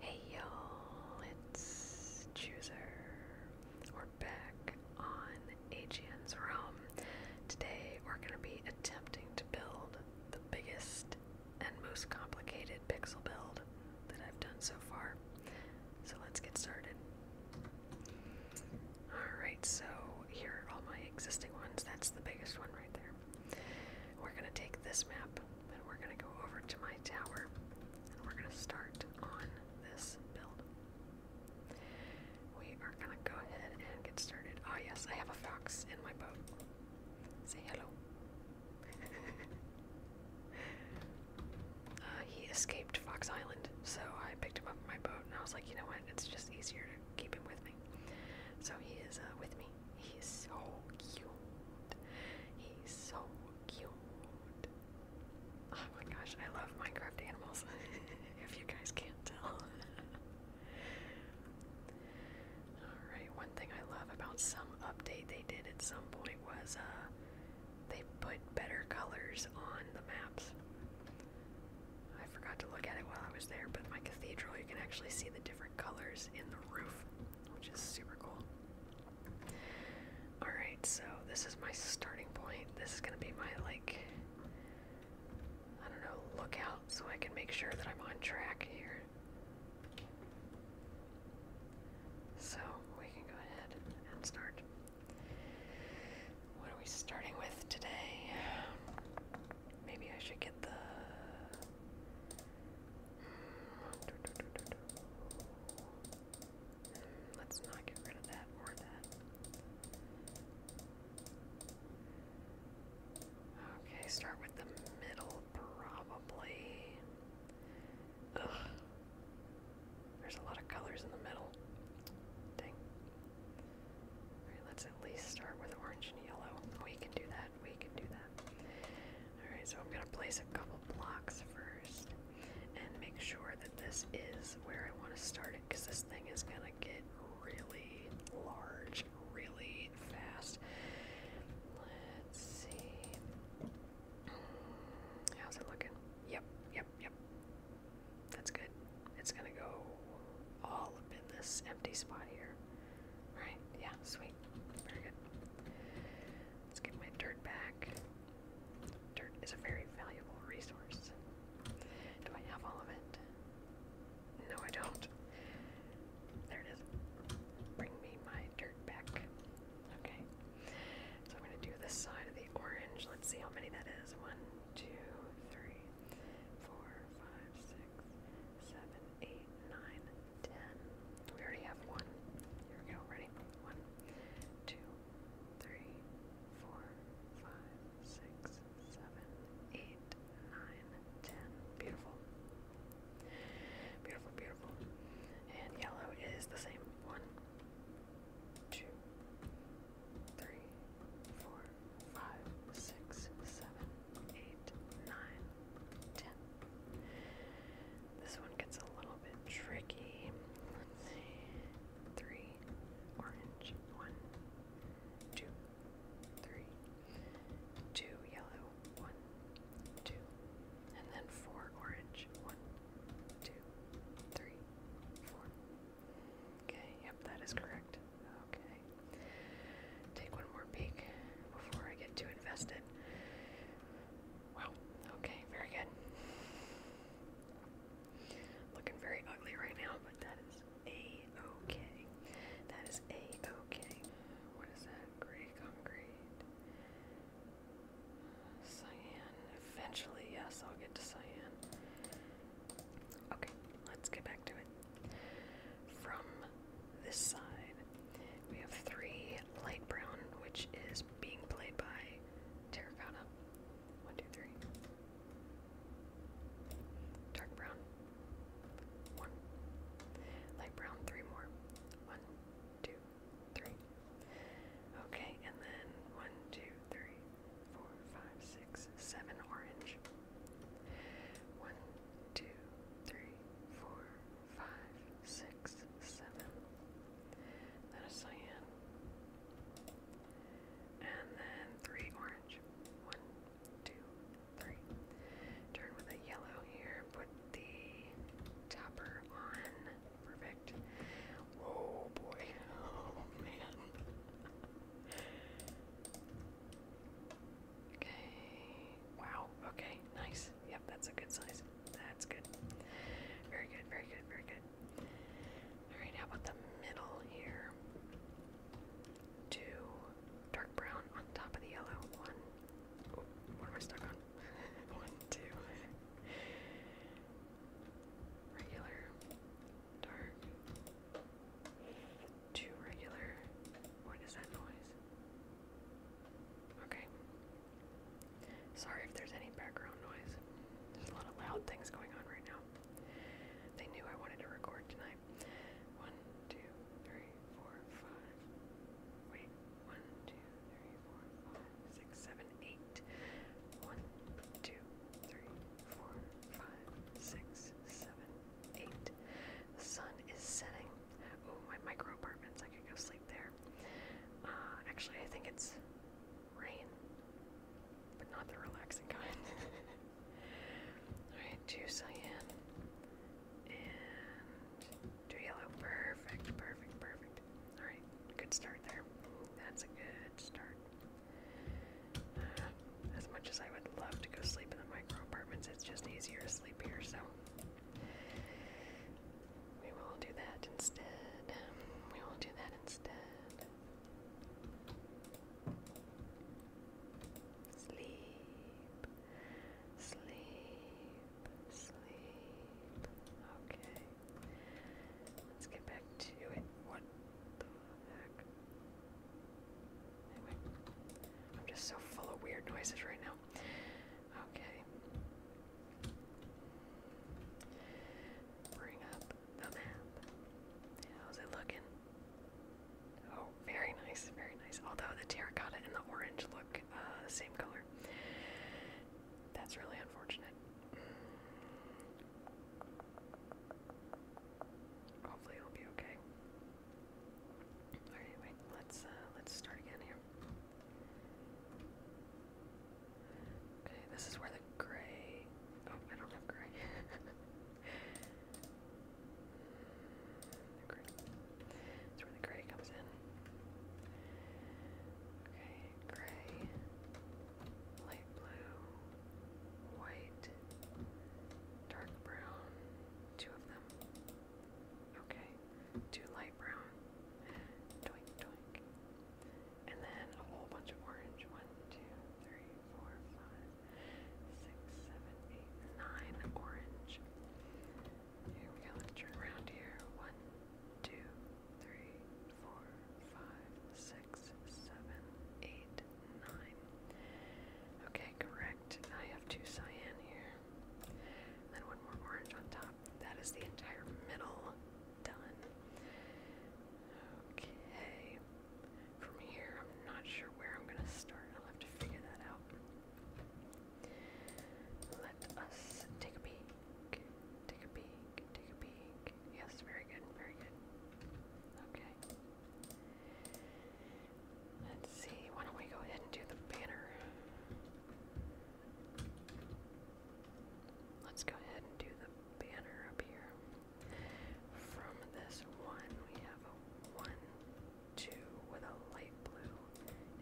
Hey y'all, it's Chooser. We're back on AGN's Realm. Today we're going to be attempting to build the biggest and most complicated pixel build that I've done so far. So let's get started. Alright, so here are all my existing ones. That's the biggest one right there. We're going to take this map and we're going to go over to my tower and we're going to start on this build. We are going to go ahead and get started. Oh, yes, I have a fox in my boat. Say hello. Uh, he escaped Fox Island, so I picked him up in my boat and I was like, you know what, it's just easier to keep him with me. So he is uh, with me He's so cute. He's so cute. Oh my gosh, I love Minecraft animals. if you guys can't tell. Alright, one thing I love about some update they did at some point was uh they put better colors on the maps. I forgot to look at it while I was there, but my cathedral you can actually see the different colors in the roof which is super cool. Alright, so this is my starting point. This is going to be my, like, I don't know, lookout so I can make sure that I'm on track here. So we can go ahead and start. What are we starting with today? Maybe I should get the Let's not get rid of that or that. Okay, start with the middle, probably. Ugh. There's a lot of colors in the middle. Dang. let's at least start with orange and yellow. We can do that. We can do that. Alright, so I'm going to place a couple blocks first and make sure that this is where I want to start it because this thing is going to get really large really fast. Let's see. How's it looking? Yep, yep, yep. That's good. It's gonna go all up in this empty spot here. Right? Yeah, sweet. Very good. Let's get my dirt back. Dirt is a very valuable resource. Do I have all of it? No, I don't. There it is. Bring me my dirt back. Okay. So I'm going to do this side of the orange. Let's see how many that is. One, two, three, four, five, six, seven, eight, nine, ten. We already have one. Here we go. Ready? One, two, three, four, five, six, seven, eight, nine, ten. Beautiful. Beautiful, beautiful. And yellow is the same. One, two, three, four, five, six, seven, eight, nine, ten. This one gets a little bit tricky. Three, orange, one, two, three, two, yellow, one, two, and then four, orange, one, two, three, four. Okay, yep, that is correct. Okay. Take one more peek before I get too invested. Wow. Okay, very good. Looking very ugly right now, but that is a-okay. That is a-okay. What is that? Gray concrete. Cyan. Eventually, yes, I'll get to cyan. Okay, let's get back to it. From this side. We have three light brown, which is being played by terracotta. One, two, three. Dark brown. One. Light brown, three more. One, two, three. Okay, and then one, two, three, four, five, six, seven orange. One, two, three, four, five, six, seven. Then a cyan. And then three orange. One, two, three. Turn with a yellow here. Put the topper on. Perfect. Oh boy. Oh man. Okay. Wow. Okay. Nice. Yep, that's a good size. That's good. Very good, very good, very good. Alright, how about the middle here? Two dark brown on top of the yellow. One. what am I stuck on? One, two. Regular. Dark. Two regular. What is that noise? Okay, Sorry if there's any background noise. There's a lot of loud things going on right now. They knew I wanted to record tonight. One, two, three, four, five. Wait. One, two, three, four, five, six, seven, eight. One, two, three, four, five, six, seven, eight. The sun is setting. Oh, my micro apartments. I could go sleep there. Uh, actually, I think it's rain, but not the relaxing kind. Alright, two cyan and two yellow. Perfect, perfect, perfect. Alright, good start there. That's a good start. Uh, as much as I would love to go sleep in the micro apartments, it's just easier to sleep here, so we will do that instead. We will do that instead. Sleep, sleep, sleep. Okay. Let's get back to it. What the heck? Anyway, I'm just so full of weird noises right now. Okay. Bring up the map. How's it looking? Oh, very nice, very nice. Although the terracotta and the orange look uh, same color. That's really unfortunate. Hopefully it'll be okay. Alright, anyway, let's uh, let's start again here. Okay, this is where the gray. Oh, I don't have gray. the gray. That's where the gray comes in. Okay, gray, light blue, white, dark brown, two of them. Okay to light brown. Twink, twink. And then a whole bunch of orange. One, two, three, four, five, six, seven, eight, nine orange. Here we go. turn around here. One, two, three, four, five, six, seven, eight, nine. Okay, correct. I have two cyan here. then one more orange on top that is the entire middle done. Okay. From here, I'm not sure where I'm going to start. I'll have to figure that out. Let us take a peek. Take a peek. Take a peek. Yes, very good. Very good. Okay. Let's see. Why don't we go ahead and do the banner? Let's go ahead and do the banner up here. From this one, we have a one, two with a light blue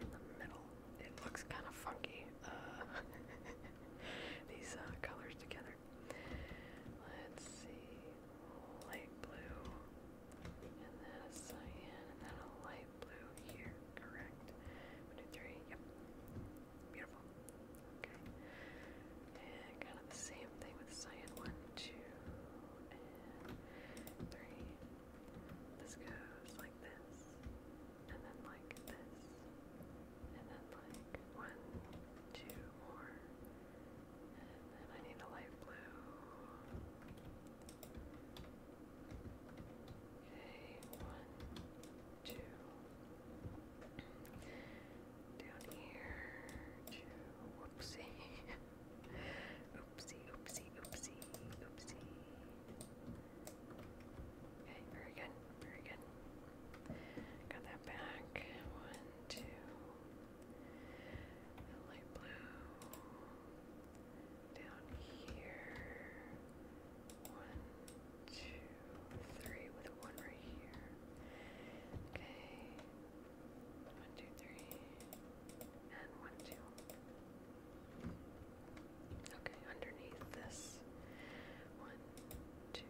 in the middle. It looks kind of funky. Uh, these uh, colors together. Let's see, light blue, and then a cyan, and then a light blue here correct. One, two, three, yep. Beautiful. Okay. And kind of the same thing with cyan. One, two, and three. This goes like this, and then like this, and then like one, two more. And then I need a light blue. Okay, one, two. Down here, Oopsie. oopsie, oopsie, oopsie, oopsie. Okay, very good, very good. Got that back. One, two. light blue down here. One, two, three, with one right here. Okay. One, two, three. And one, two. Okay, underneath this. One, two,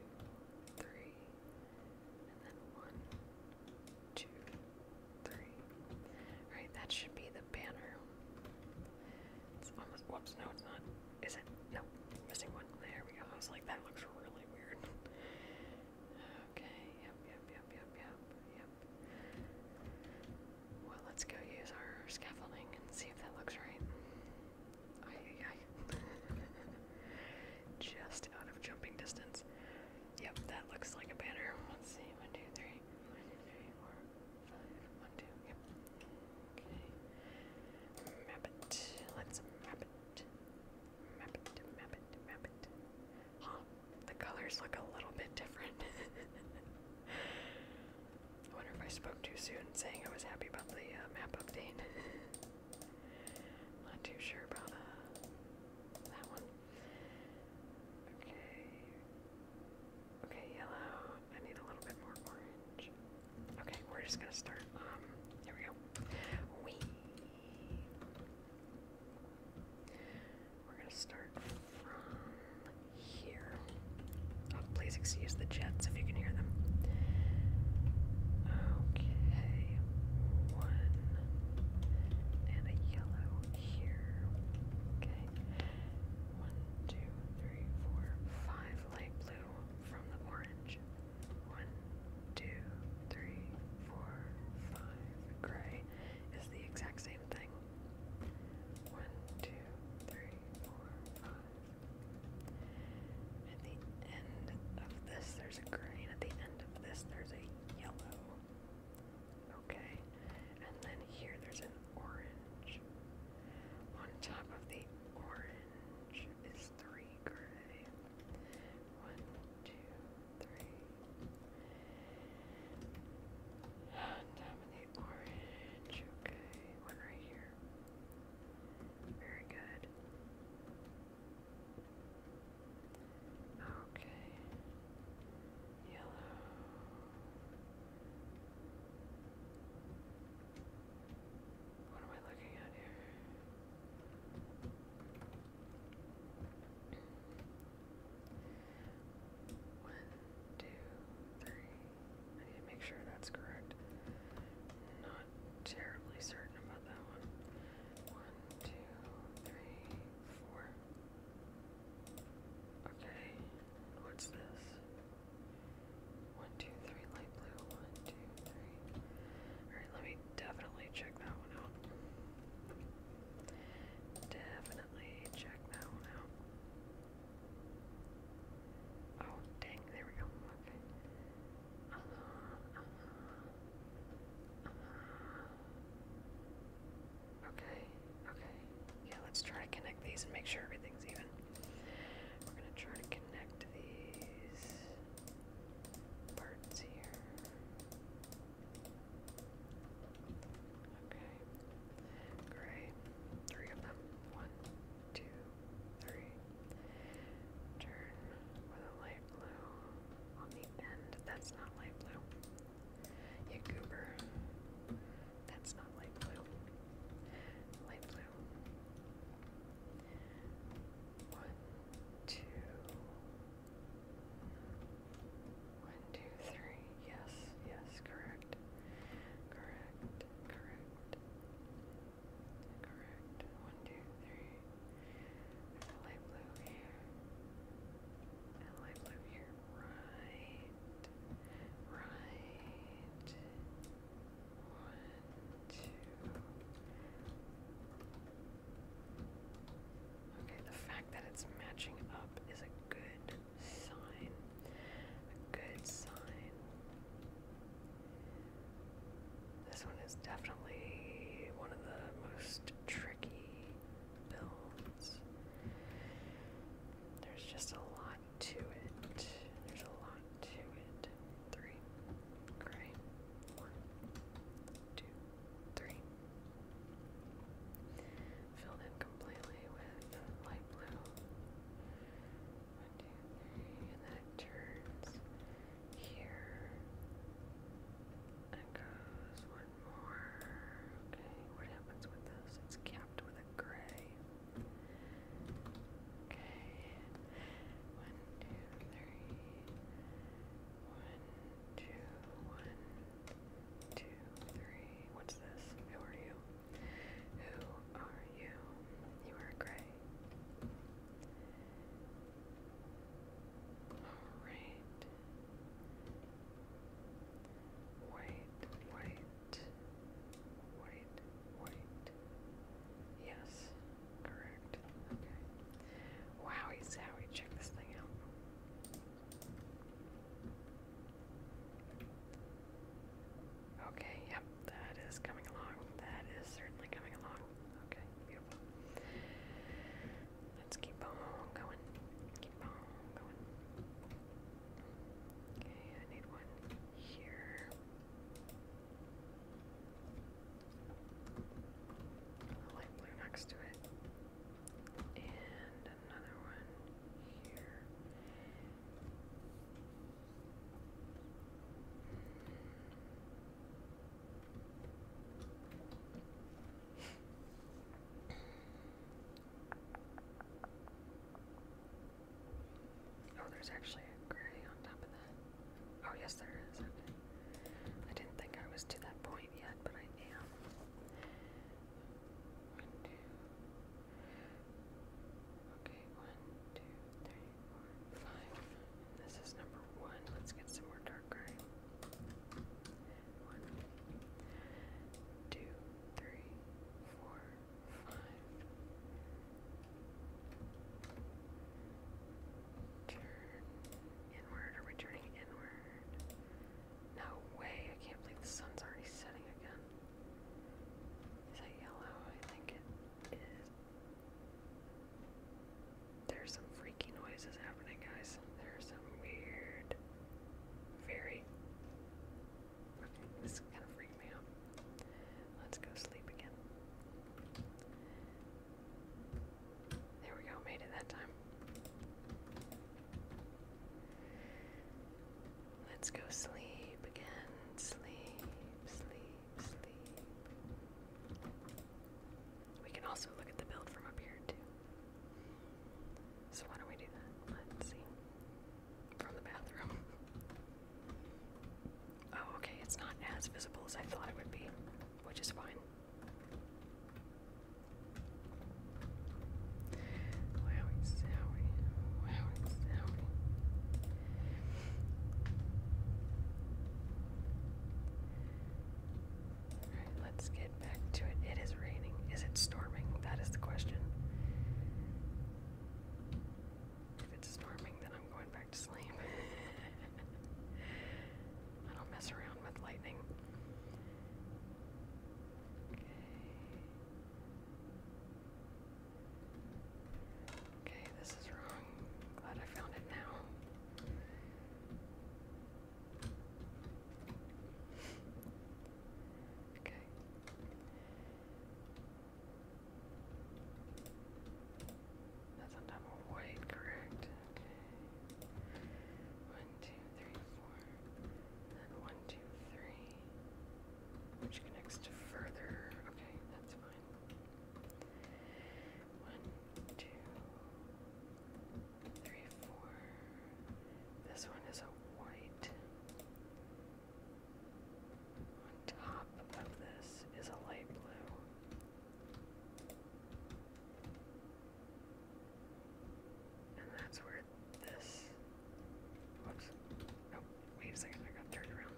three. And then one, two, three. All right, that should be the banner. It's almost, whoops, no it's not. Is it? No, missing one. There we go. I was like, that looks really weird. Okay, yep, yep, yep, yep, yep, yep. Well, let's go use our scaffolding and see if that looks right. Aye, aye, Just out of jumping distance. Yep, that looks like a banner. Let's see, one, two, three. One, two, three, four five, one, two, yep. Okay. Map it. Let's map it. Map it, map it, map it. Huh, the colors look a little bit different. I wonder if I spoke too soon saying I was happy about the uh, map update. Not too sure about uh, that one. Okay, Okay, yellow. I need a little bit more orange. Okay, we're just gonna start. Um, here we go. We. We're gonna start from here. Oh, please excuse the jets if you can hear them. Okay, one and a yellow here. Okay, one, two, three, four, five light blue from the orange. One, two, three, four, five. Gray is the exact same thing. One, two, three, four, five. At the end of this, there's a green. At the end of this, there's a yellow. Okay. And then here, there's an orange. On top of the orange is three gray. One, two, three. On top of the orange, okay, one right here. Very good. Okay yellow. What am I looking at here? One, two, three. I need to make sure that's correct. Not terribly certain about that one. One, two, three, four. Okay, what's this? One, two, three, light blue. One, two, three. Alright, let me definitely check that one out. Definitely check that one out. Oh, dang, there we go. Okay. Uh-huh, uh-huh, uh-huh. Okay, Okay, Yeah, let's try to connect these and make sure everything's even. We're going to try to connect these parts here. Okay, gray. Three of them. One, two, three. Turn with a light blue on the end. That's not light blue. You that's not light blue. Light blue. One, two. One, two, three. Yes, yes, correct. Correct, correct. Correct. One, two, three. light blue here. And light blue here right, right, one, two. Okay, the fact that it's matching up is a good sign. A good sign. This one is definitely one of the most tricky builds. There's just a lot lot to it. There's a lot to it. Three. Gray. One, two, three. Filled in completely with light blue. And then turns here. And goes one more. Okay, what happens with this? It's capped with a gray. Okay. One, two, three. One, two, one, two, three. What's this? Who are you? Who are you? You are gray. Alright. White, white, white, white. Yes, correct. Okay. Wow, he's how we check this thing out. Okay, yep, that is coming along. That is certainly coming along. Okay, beautiful. Let's keep on going. Keep on going. Okay, I need one here. A light blue next to it. And another one here. Oh, there's actually a gray on top of that. Oh, yes, there is. I didn't think I was to that point yet, but I am. One, two. Okay, one, two, three, four, five. this is number one. Let's get some more dark gray. One, two, three, four, inward, are we turning inward? No way, I can't believe the sun's already setting again. Is that yellow? I think it is. There's some freaky noises happening, guys. There's some weird, very this is gonna freak me out. Let's go sleep again. There we go, made it that time. Let's go sleep again. Sleep, sleep, sleep. We can also look at the build from up here, too. So, why don't we do that? Let's see from the bathroom. Oh, okay, it's not as visible as I thought it would be, which is fine. Wowie zowie, wowie zowie. Alright, let's get back to it. It is raining. Is it storming? That is the question. If it's storming, then I'm going back to sleep. I don't mess around with lightning. Okay. Okay, this is wrong. Glad I found it now. Okay. That's on top of white, correct? One, two, three, four. then one, two, three. Which connects to further. Okay, that's fine. One, two, three, four. This one is a white. On top of this is a light blue. And that's where this. Whoops. Oh, wait a second. I got turned around.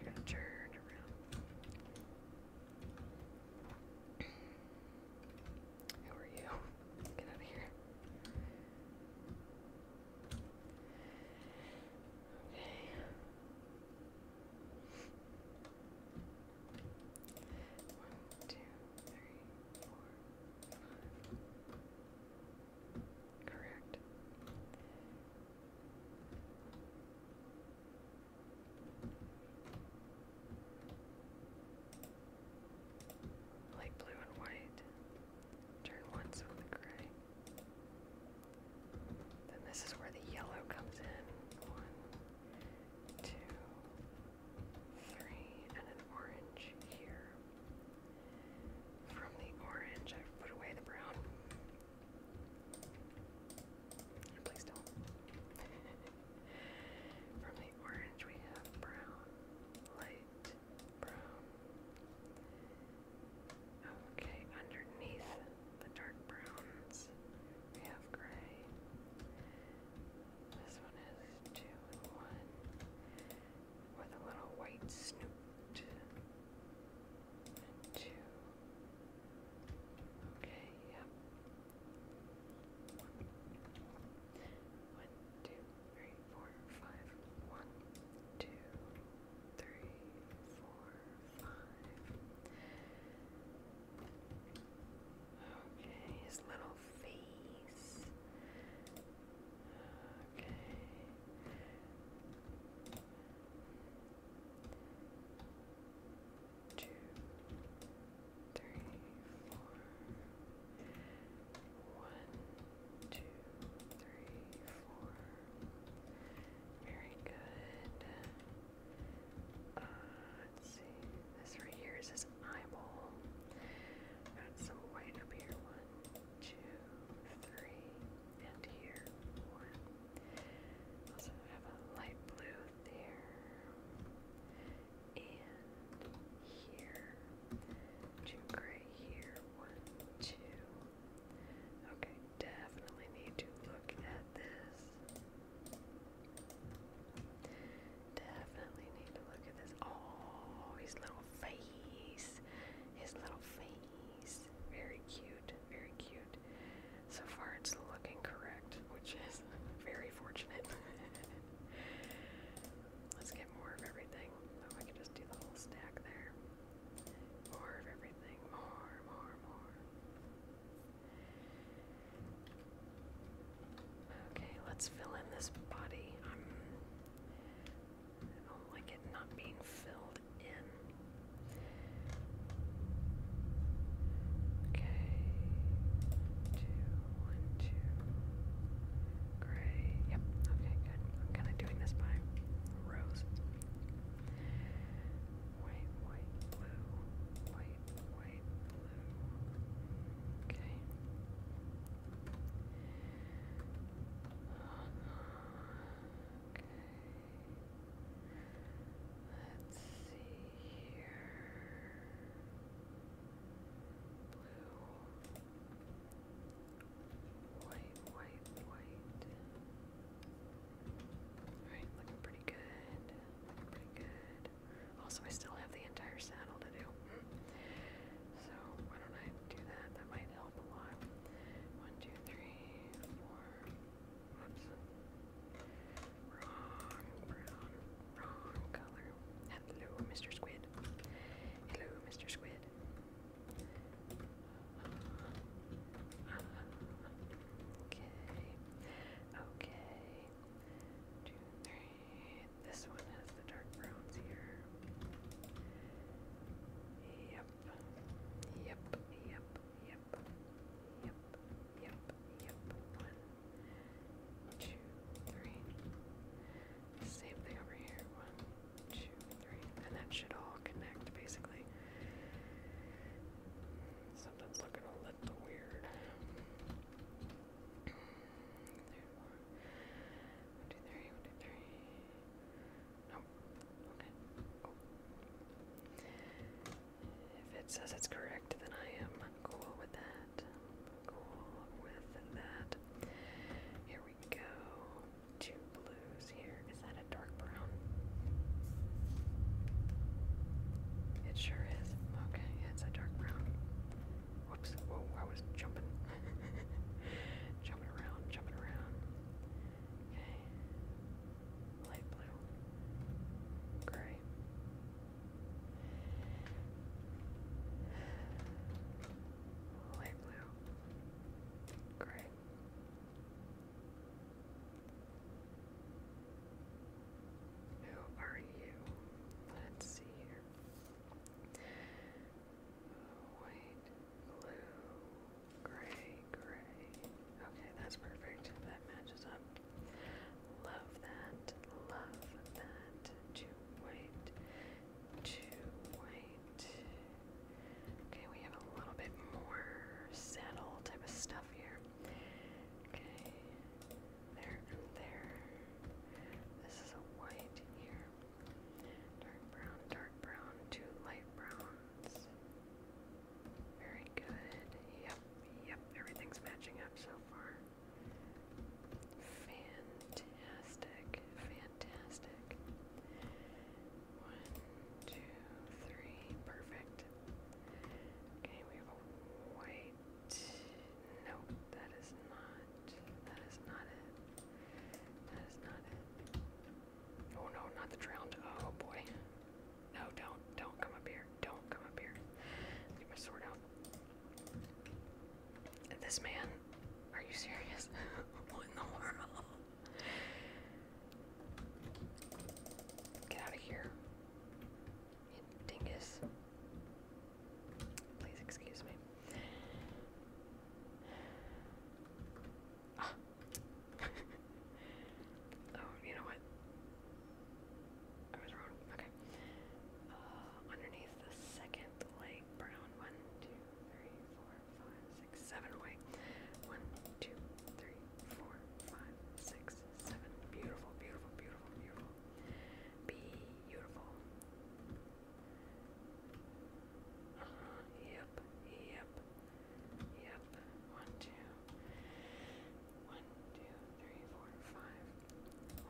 I got turned around. Who are you? Get out of here. One, two, three, four, five. Correct. Like blue and white. Turn once on the gray. Then this is where the yellow comes in. One, two, three, and an orange here. From the orange, i put away the brown. Please don't. From the orange, we have brown, light, Okay, underneath the dark browns, we have gray. This one is two and one with a little white snoot. two. Okay, yep. One, two, three, four, five. One, two, three, four, five. Okay, his little face. Okay. Two, three, four. One, two, three, four. Very good. let's see. This right here is his eyeball. Got some white up here. One, two, three, and here. One. Also have a light blue there. And here, two gray here, one, two. Okay, definitely need to look at this. Definitely need to look at this. Oh, his little face. His little face. Very cute. Very cute. So far, it's looking correct, which is very fortunate. Let's get more of everything. Oh, I could just do the whole stack there. More of everything. More, more, more. Okay, let's fill in this body. I'm, um, i do not like it not being filled in. Okay. Two, one, two. Gray. Yep. Okay, good. I'm kind of doing this by rows. White, white, blue. White, white, blue. Okay. Okay. Let's see here. Blue. White, white, white. Alright, looking pretty good. pretty good. Also, I still have the entire saddle to do. So, why don't I do that? That might help a lot. One, two, three, four. Whoops. Wrong brown. Wrong color. Hello, Mr. Squid. Hello, Mr. Squid. Okay, okay. Two, three. This one has the dark browns here. Yep, yep, yep, yep, yep, yep, yep. One, two, three. Same thing over here. One, two, three, and that should all connect basically. Something's looking a little weird. Three, four. One, two, three, Okay. If it says it's correct, then I am cool with that. Cool with that. Here we go two blues here. Is that a dark brown? It sure is. Okay, it's a dark brown. Whoops, whoa, I was jumping. jumping around, jumping around. Okay. Light blue. Gray. Light blue. Great. Who are you? Let's see here. White, blue, gray, gray. Okay, that's perfect. That matches up. Love that. Love that. To white, two white. Okay, we have a little bit more saddle type of stuff here. Okay, there there. This is a white here. Dark brown, dark brown, two light browns. Very good. Yep, yep, everything's matching up so far. Fantastic. Fantastic, fantastic. One, two, three, perfect. Okay, we have a white. Nope, that is not. That is not it. That is not it. Oh no, not the drowned. Oh boy. No, don't, don't come up here. Don't come up here. Get my sword out. This man, are you serious? what in the world? Get out of here. dingus. Please excuse me. Ah. oh, you know what? I was wrong. Okay. Uh, underneath the second light brown. One, two, three, four, five, six, seven away. One, two, three, four, five, six, seven. Beautiful, beautiful, beautiful, beautiful. Beautiful. Uh -huh. Yep, yep, yep. One, two. One, two, three, four, five.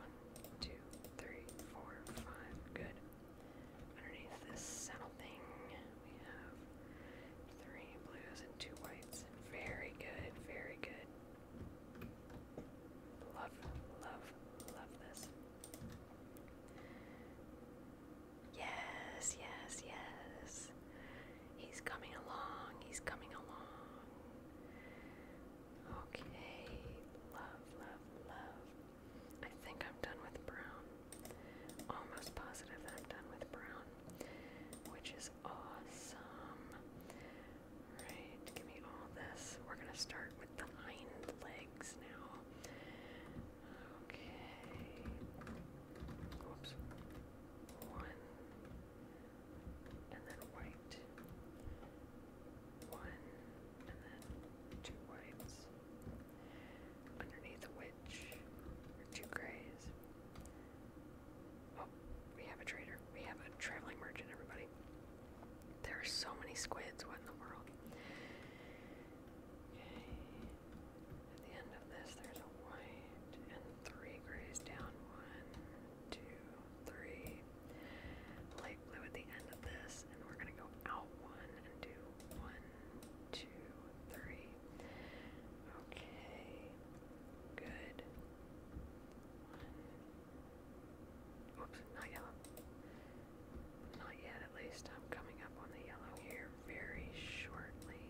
One, two, three, four, five. Good. Underneath this saddle thing, we have three blues and two whites. Very good, very good. Love, love, love this. Yes, yes, yes. He's coming along, he's coming along. Okay, love, love, love. I think I'm done with brown. Almost positive I'm done with brown, which is awesome. Right, give me all this. We're gonna start with the hind legs now. Okay. Whoops. One. And then white. One. And then two whites. Underneath which two grays. Oh, we have a trader. We have a traveling merchant, everybody. There are so many squids. What in the world? At the end of this, there's a white and three grays down. One, two, three. Light blue at the end of this, and we're gonna go out one and do one, two, three. Okay, good. One. Oops, not yellow. Not yet, at least. I'm coming up on the yellow here very shortly.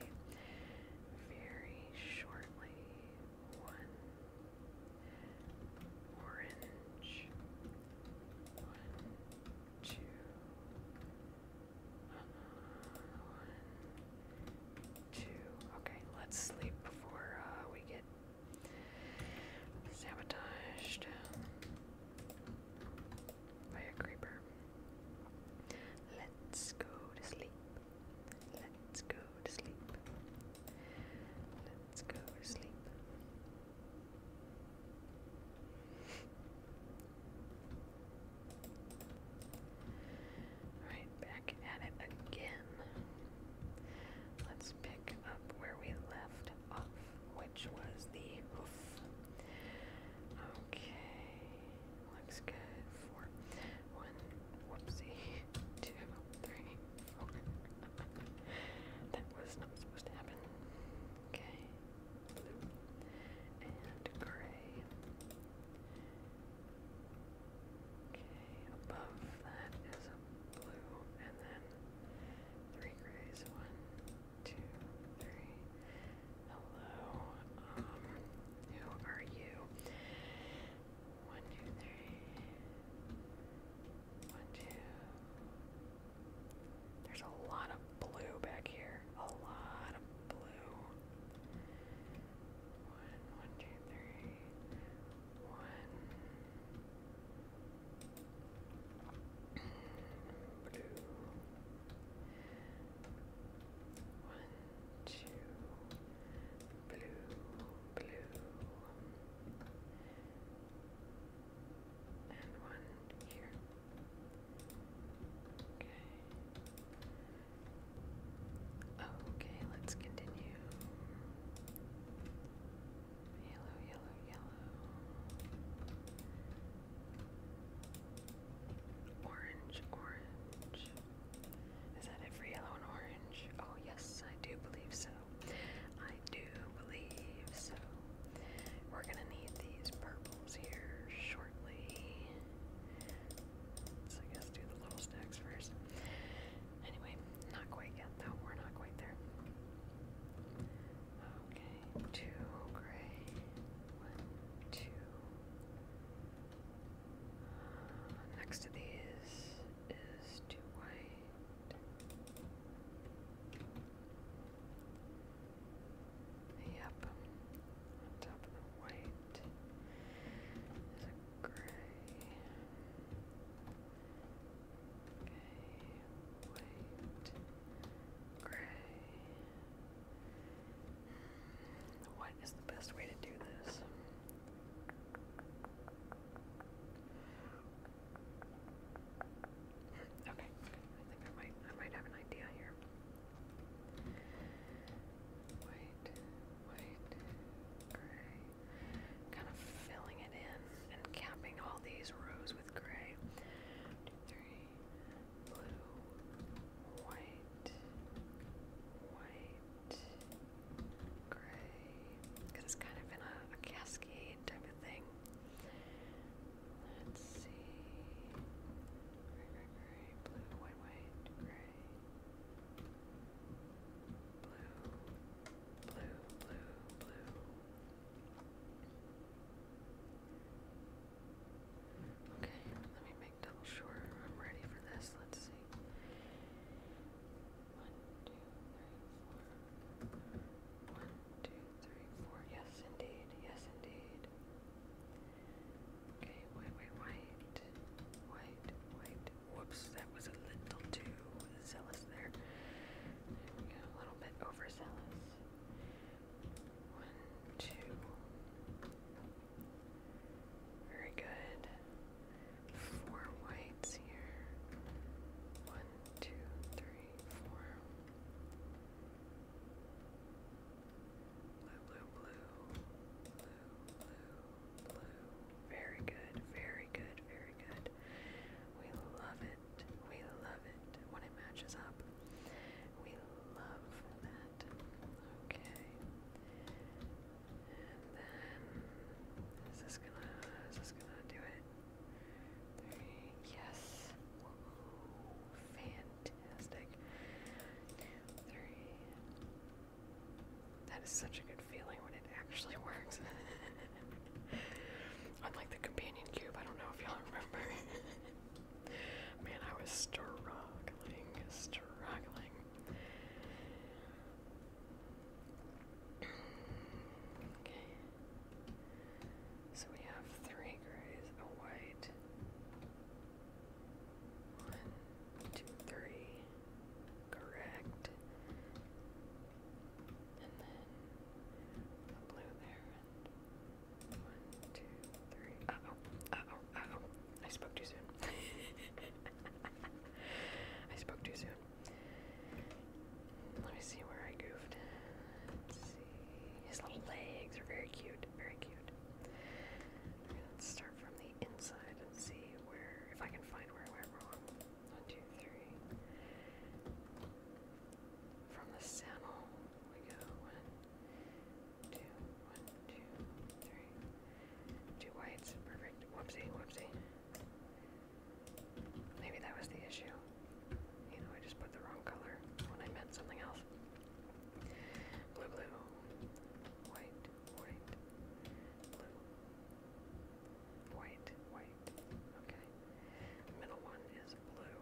Very shortly. One. Orange. One two, one, two. Okay, let's sleep before uh, we get sabotaged by a creeper. Let's go to sleep. Let's go to sleep. Let's go to sleep. Right back at it again. Let's pick up where we left off, which was the hoof. Okay, looks good for one, whoopsie, two, three, four. that was not supposed to happen. Okay blue, and gray. Okay, above that is a blue, and then three grays. One, two, three. Hello. Um, who are you? One, two, three. One, two. One, two, three. There's a lot of blue back here. A lot of blue. One, one, two, three. blue. One, two. Blue, blue and one here. Okay. Okay, let's continue. Yellow, yellow, yellow. Orange, orange. Is that it for yellow and orange? Oh, yes, I do believe so. I do believe so. We're gonna need these purples here shortly. So I guess do the little stacks first. Anyway, not quite yet though. We're not quite there. Okay, two gray, one, two. Uh, next to these is two white. Yep. white is a gray. Okay, white, gray. What is the best way to do this? Okay, I think I might I might have an idea here. White, white, gray. Kind of filling it in and capping all these rows with gray. One, two, three, blue, white, white, gray. it's kind of in a cascade type of thing. Let's see. Gray, gray, gray, blue, white, white, gray. Blue, blue, blue, blue. Okay, let me make double sure I'm ready for this. Let's see. One, two, three, four. One, two, three, four. Yes, indeed. Yes, indeed. Okay, wait, wait, wait. Wait, wait. Whoops, that was a little too zealous there. a little bit overzealous. One, two. Very good. Four whites here. One, two, three, four. Blue, blue, blue. Blue, blue, blue. Very good, very good, very good. We love it. We love it when it matches up. We love that. Okay. And then is this gonna is this gonna do it? Yes. Fantastic. That is such a good feeling when it actually works. Unlike the companion cube, I don't know if y'all remember. Man, I was struggling, struggling. okay. So we have three grays, a white. One, two, three. Correct. And then a blue there. one, two, three. Uh oh, uh oh, uh oh. I spoke too soon. I spoke too soon. Let me see where I goofed. His little legs are very cute, very cute. let's start from the inside and see where, if I can find where I went wrong. One, two, three. From the saddle we go one, two, one, two, three. Two whites, perfect. Whoopsie, whoopsie. Maybe that was the issue. You know, I just put the wrong color when I meant something else. Blue, blue, white, white, blue, white, white. Okay. middle one is blue.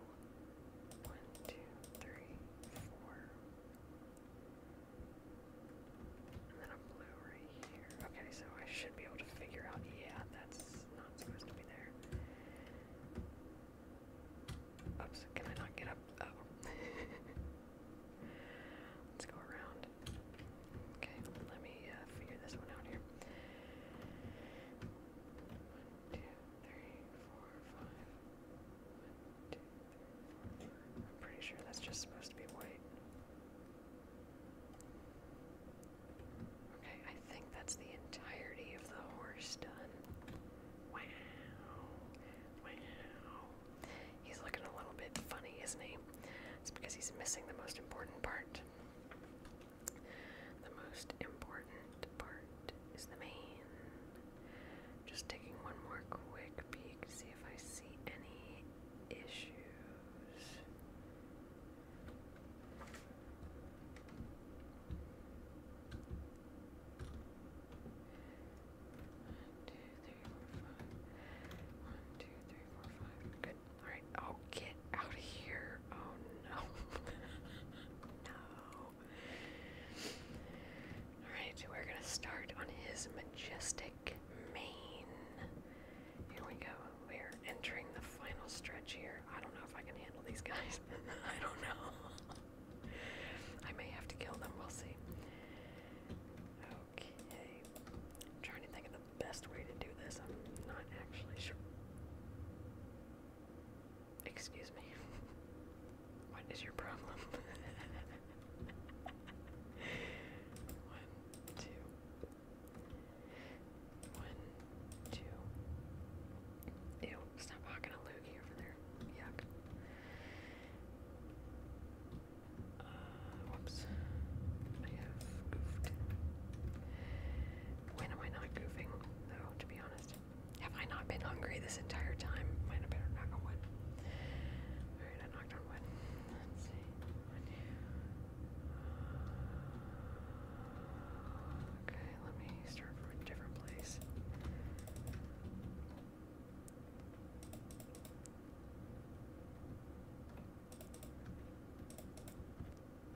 One, two, three, four. And then a blue right here. Okay, so I should be able to figure out, yeah, that's not supposed to be there. Oops, can I not get up? Oh. Let's go around. Okay, let me uh, figure this one out here. One, two, three, four, five. One, two, three, four, five. I'm pretty sure that's just supposed to be white. Okay, I think that's the entirety of the horse done. Wow. Wow. He's looking a little bit funny, isn't he? It's because he's missing the most important part. The most important part is the main. Just taking one more quick peek to see if I see any issues. One, two, three, four, five. Good. Alright. Oh, get out of here. Oh, no. no. Alright, we're going to start on his majestic mane. Here we go. We're entering the final stretch here. I don't know if I can handle these guys. I don't know. I may have to kill them, we'll see. Okay. trying to think of the best way to do this. I'm not actually sure. Excuse me. What is your problem? One, two. Ew, stop hawking a loogie over there. Yuck. Uh, whoops. I have goofed. When am I not goofing, though, to be honest? Have I not been hungry this entire time? Might have better knock on wood. Alright, I knocked on wood. Let's see. Uh, okay let me start from a different place.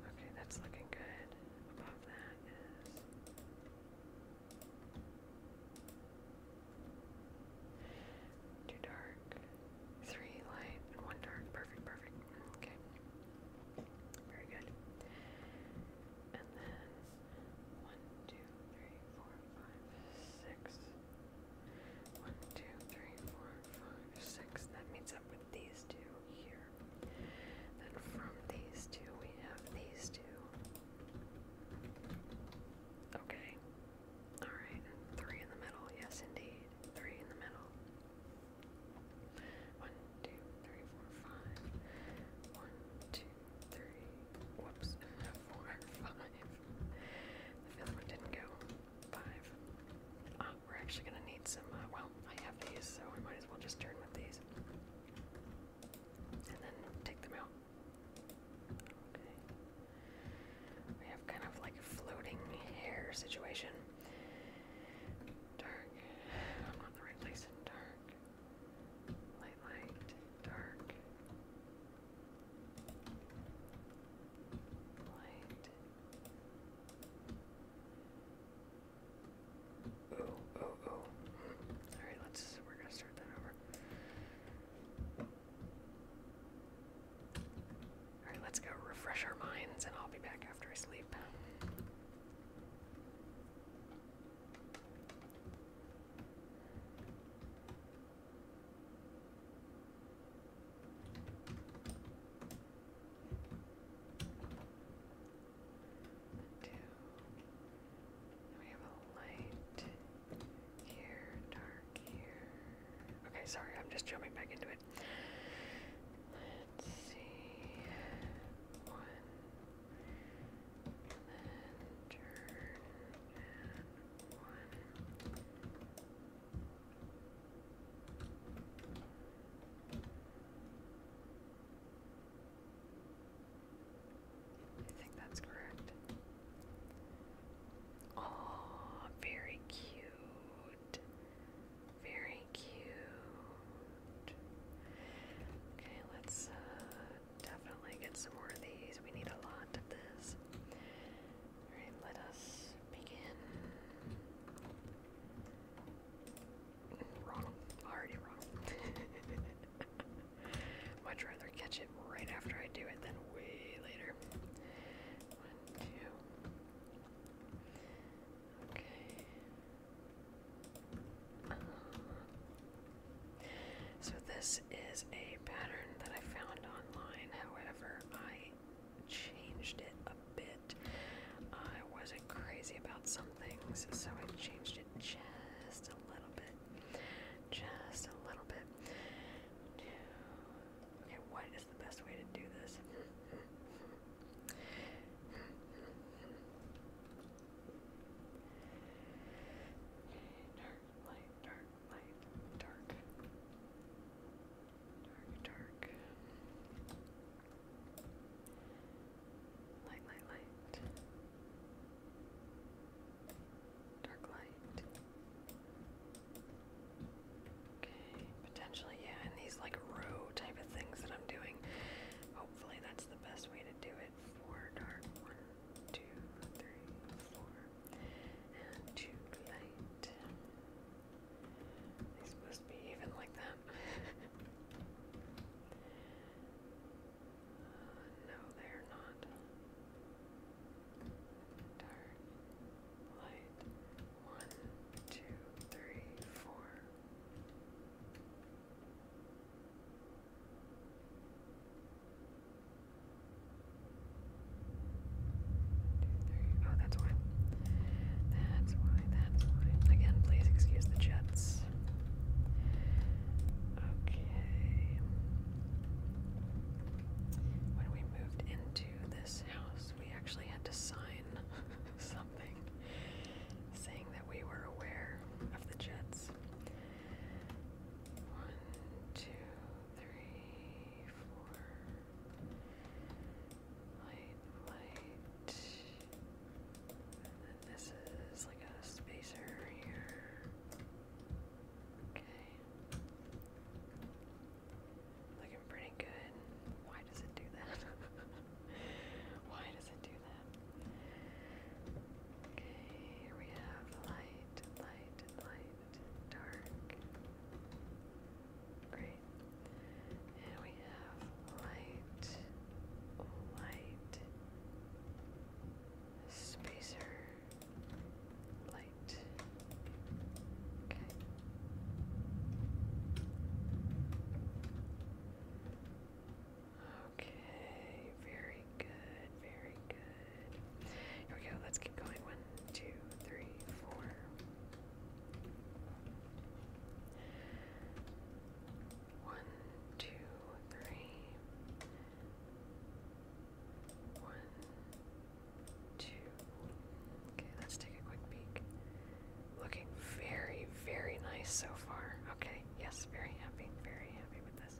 Okay, that's looking good. Above that is. Too dark. Three light one dark. Perfect, perfect. Okay. Very good. And then one, two, three, four, five, six. One, two, three, four, five, six. That meets up with these two here. Then from these two, we have these two. Okay. Alright, three in the middle. Yes, indeed. Three in the middle. One, two, three, four, five. One, two, three. Whoops. Four, five. The fifth one didn't go. Five. Uh, we're actually gonna need some. Uh, well, I have these, so we might as well just turn with these, and then take them out. Okay. We have kind of like a floating hair situation. Dark. I'm in the right place dark light, light, dark, light. Oh, oh, oh. Alright, let's, we're gonna start that over. Alright, let's go refresh our minds and I'll be back after I sleep. Two. We have a light here, dark here. Okay, sorry, I'm just jumping back into it. Let's see. One, and then turn and one. I think that's correct. Oh, very cute. Very cute. Okay, let's uh, definitely get some more of these. We need a lot of this. let us begin. Wrong. Already wrong. Much rather catch it right after I do it than way later. One, two. Okay. So this is a pattern that I found online. However, I changed it a bit. I wasn't crazy about some things, so I changed it just a little bit. Just a little bit. Okay, what is the best way to do this? Dark, light, dark, light, dark. Dark, dark. Light, light, light. Dark light. Okay, potentially, yeah, and these like row type of things that I'm doing. Hopefully, that's the best way to do it four dark, one, two, three, four, and two light. They're supposed to be even like that. Uh, no, they're not. Dark, light, one, two, three, four three. Oh, that's why. That's why, that's why. Again, please excuse the jets. Okay. When we moved into this house, we actually had to sign something saying that we were aware of the jets. One, two, three, four. Light, light. And then this is like a spacer here. Okay. Looking pretty good. Why does it do that? Why does it do Okay, we have light, light, light, dark. Great. And we have light, light, spacer, light. Okay. Okay, very good, very good. Here we go, let's keep going. One, two, three, four. One, two, three. One, two. Okay, let's take a quick peek. Looking very, very nice so far. Okay, yes, yes, very happy, very happy with this.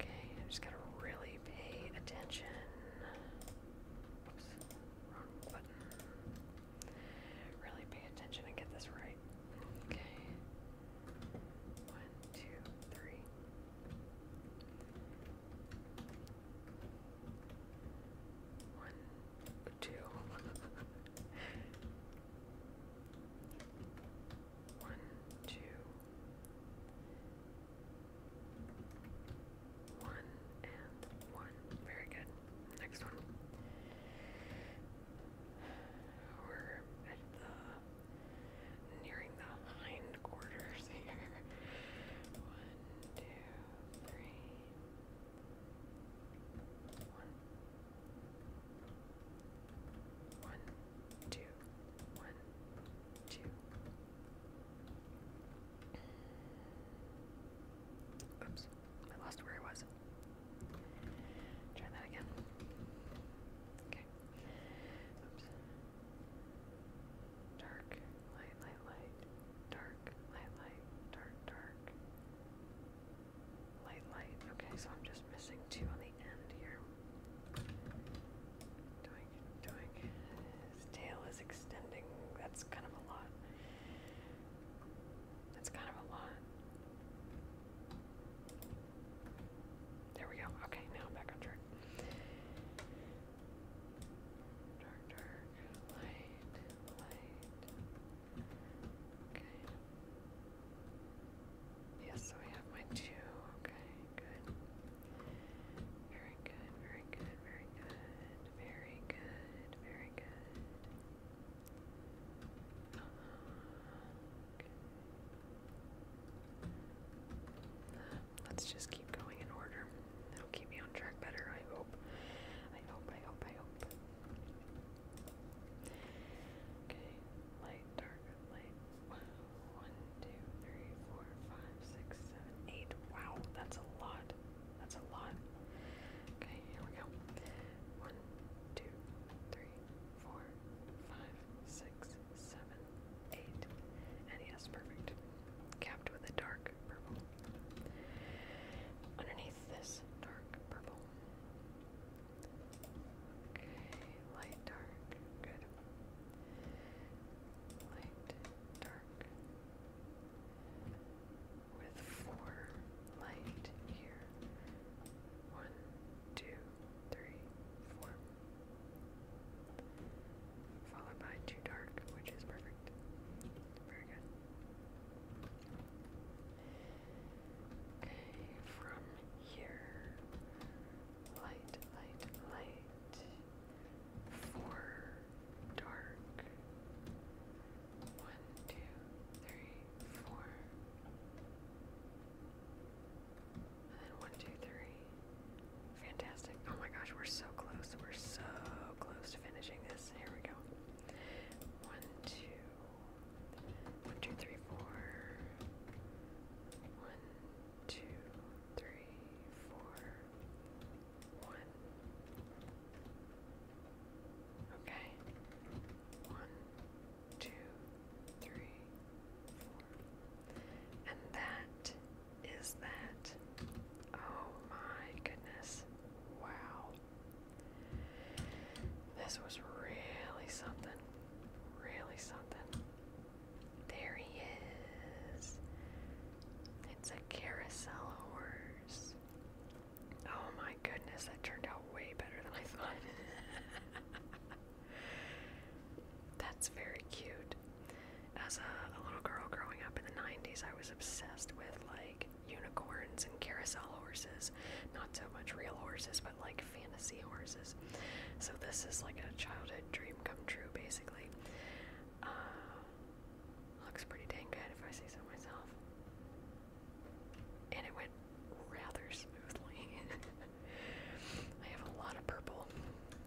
Okay, I just going to really pay attention. Really pay attention and get this right. Okay. One, two, three. One, two. One, two. and one. Very good. Next one. We're nearing the hindquarters here. One, two, three, one, one, two, one, two. Oops, I lost where I was. Try that again. Okay. Oops. Dark, light, light, light. Dark, light, light. Dark, dark. Light, light. Okay, so I'm just missing two on the end here. Doink, doink. tail is extending. That's kind of a lot. That's kind of a lot. There we go. Okay, now I'm back on track. Dark, dark, light, light, Okay. Yes, so I have my two. Okay, good. Very good, very good, very good, very good, very good. let's just keep going in order. That'll keep me on track better, I hope. I hope, I hope, I hope. Okay, light, dark, light. One, two, three, four, five, six, seven, eight. Wow, that's a lot. That's a lot. Okay, here we go. One, two, three, four, five, six, seven, eight. And yes, perfect. Capped with a dark purple. Underneath this dark purple Okay, light, dark, good. Light, dark. With four light here. One, two, three, four. Followed by two dark, which is perfect. Very good. Okay, from here, light, light, light, four, dark, one, two, three, four, and then one, two, three. Fantastic. Oh my gosh, we're so close. We're so close to finishing this. Here we go. One, two, one, two, three, four. One, two, three, four. One. Okay. One, two, three, four. And that is that. Oh my goodness. Wow. This was really something. Really something. There he is. It's a carousel horse. Oh my goodness, that turned out way better than I thought. That's very cute. As a, little girl growing up in the 90s, I was obsessed with like unicorns and carousel horses. Not so much real horses, but like fantasy horses. So this is like a childhood dream come true, basically. Uh, looks pretty dang good if I say so myself. And it went rather smoothly. I have a lot of purple.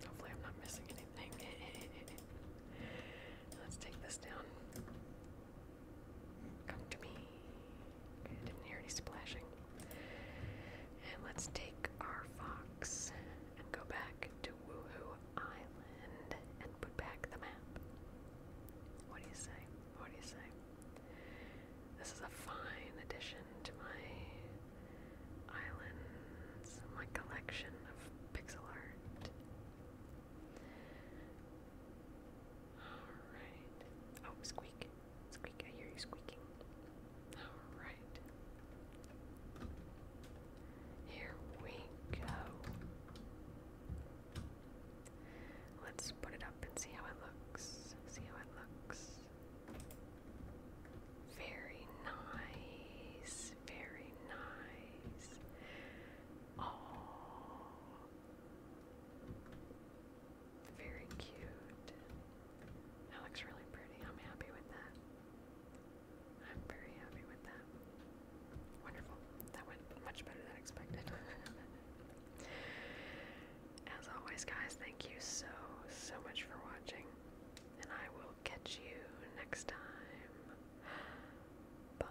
Hopefully, I'm not missing anything. Let's take this down. Come to me. didn't hear any splashing. And let's take our fox and go back to Woohoo Island and put back the map. What do you say? What do you say? This is a fine addition to my islands, my collection of pixel art. Alright. Oh, squeak. Squeak, I hear you squeaking. Alright. Here we go. Let's put it up and see how it looks. See how it looks. Very nice. Very nice. Oh. Very cute. That looks really pretty. I'm happy with that. I'm very happy with that. Wonderful. That went much better than expected. As always, guys, thank you so, so much for watching. And I will catch you next time. Bye.